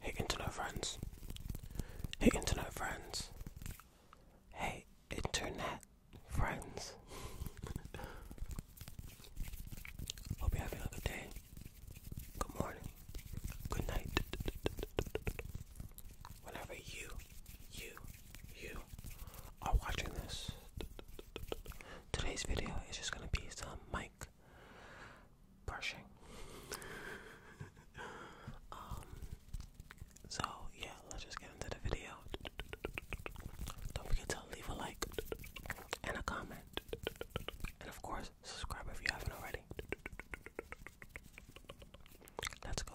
Hey internet friends. Hey internet friends. Hey internet friends. Hope you're a good day. Good morning. Good night. Whenever you, you, you are watching this, today's video is just gonna be some mic brushing. Um, so yeah, let's just get into the video. Don't forget to leave a like and a comment, and of course, subscribe if you haven't already. Let's go.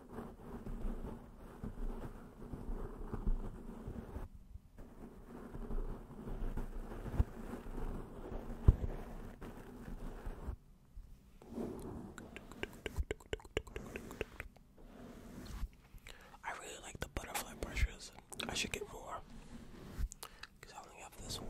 I really like the butterfly brushes. I should get more because I only have this one.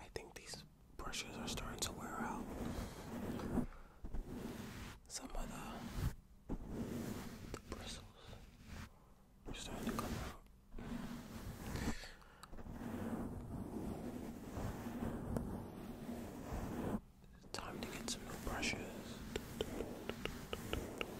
I think these brushes are starting to wear out. Some of the, bristles are starting to come out. time to get some new brushes.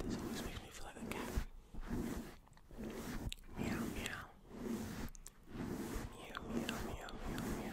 This always makes me feel like a cat. Meow, meow. Meow, meow, meow, meow, meow.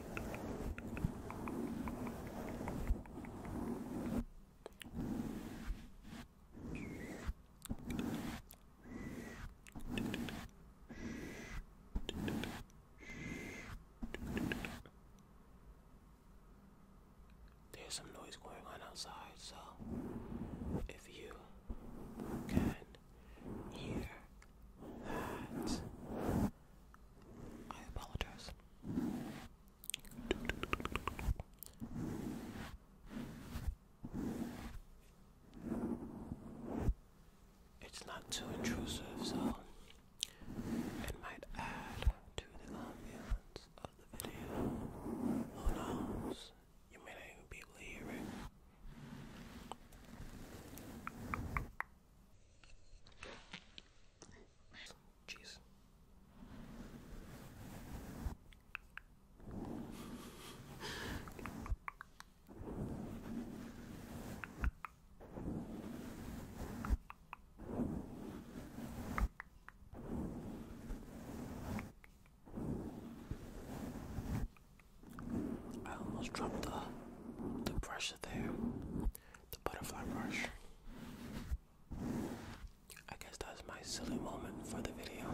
There's some noise going on outside, so if you can hear that, I apologize. It's not too intrusive, so it might add to the ambience of the video. Who knows? You may not even be able to hear it. Jeez. I almost dropped the the brush there, the butterfly brush. I guess that's my silly moment for the video.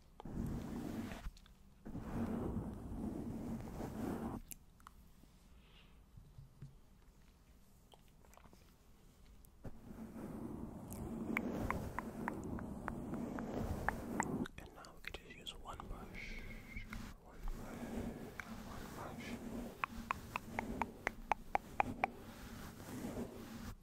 And now we could just use one brush, one brush, one brush.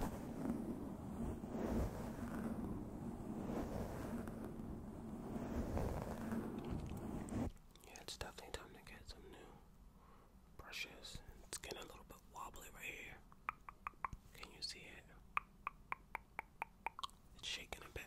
Yeah, it's definitely time to get some new brushes. It's getting a little bit wobbly right here. Can you see it? It's shaking a bit.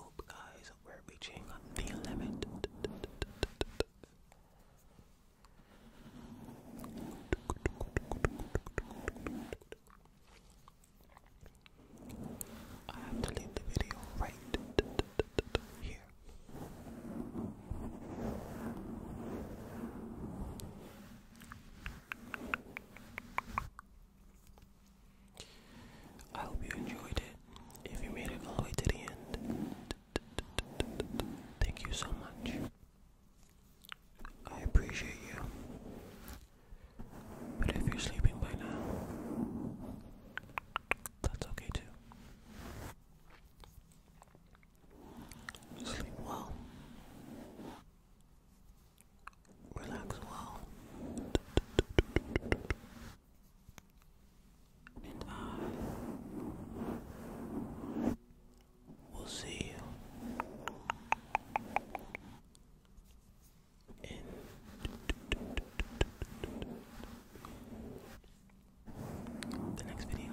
Oop, guys, we're reaching the limit. I have to leave the video right here. I hope you enjoyed it. If you made it all the way to the end, thank you so much. I appreciate you. But if you're sleeping by now, that's okay too. Sleep well relax uh, well. And I will see you in the next video.